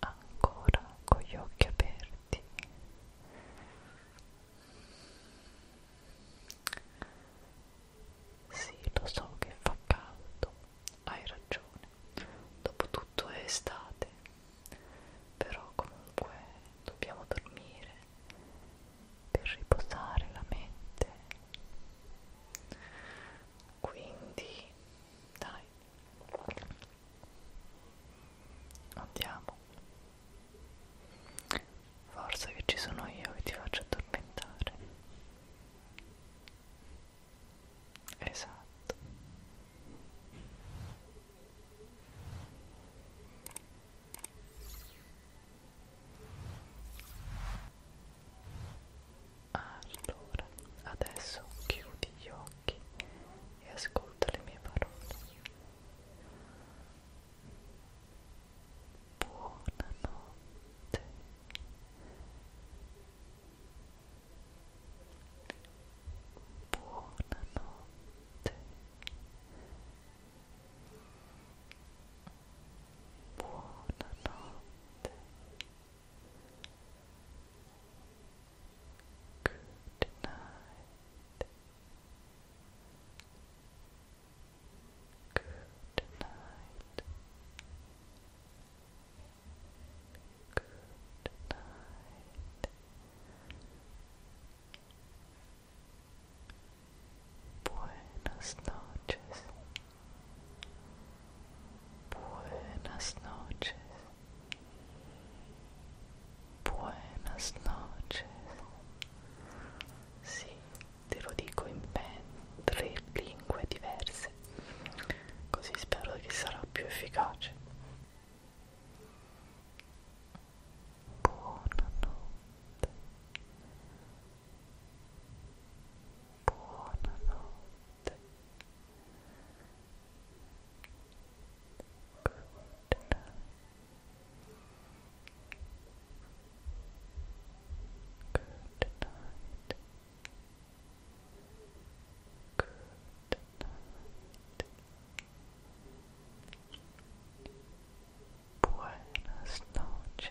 ancora con gli occhi aperti sì lo so che fa caldo hai ragione dopotutto è estate però comunque dobbiamo dormire per riposare la mente quindi dai andiamo forza che ci sono io che ti faccio addormentare esatto allora, adesso chiudi gli occhi e ascolta le mie parole. Buonanotte. Buonanotte. Buonanotte. Good night. Good night. Good night. Buenas noches. Buenas noches. Buenas noches. Sì, te lo dico in ben tre lingue diverse. Così spero che sarà più efficace. Buonanotte. Buonanotte. Buonanotte. Good night. Good night. Good night. Buenas noches.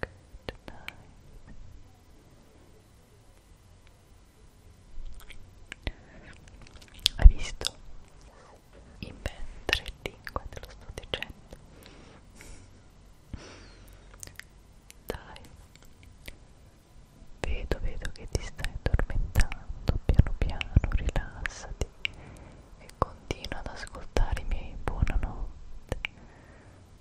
Good night. Hai visto? In ben tre lingue te lo sto dicendo. Dai. Vedo, vedo che ti stai addormentando, piano piano rilassati e continua ad ascoltarmi. Buonanotte.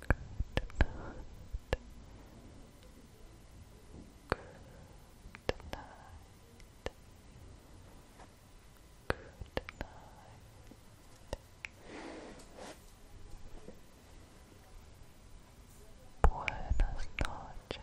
Good night. Good night. Good night. Buenas noches.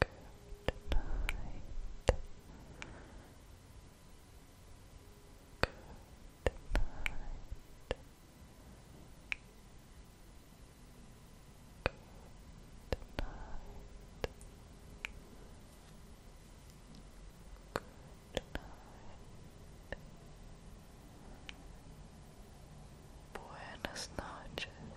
Good night. Good night. Good night. Good night. Buenas noches.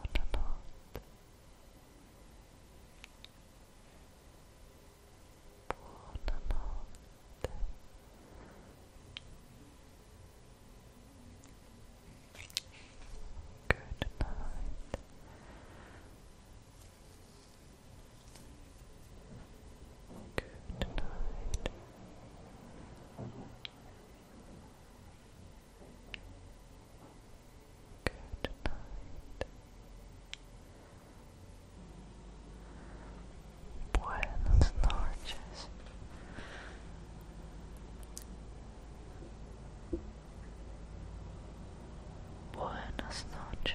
Buonanotte. Buonanotte. Good night. Good night. Good night. Buenas noches. Buenas noches.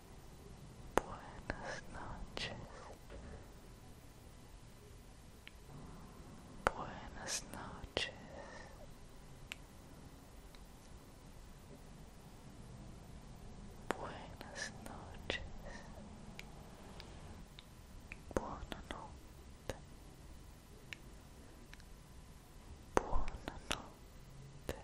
Buenas noches. Buenas noches. Buenas noches. Buonanotte. Buonanotte. Buonanotte.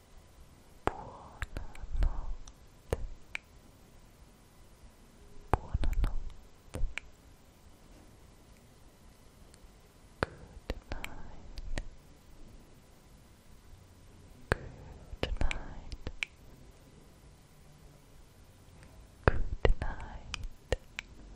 Buonanotte. Buonanotte. Good night. Good night. Good night.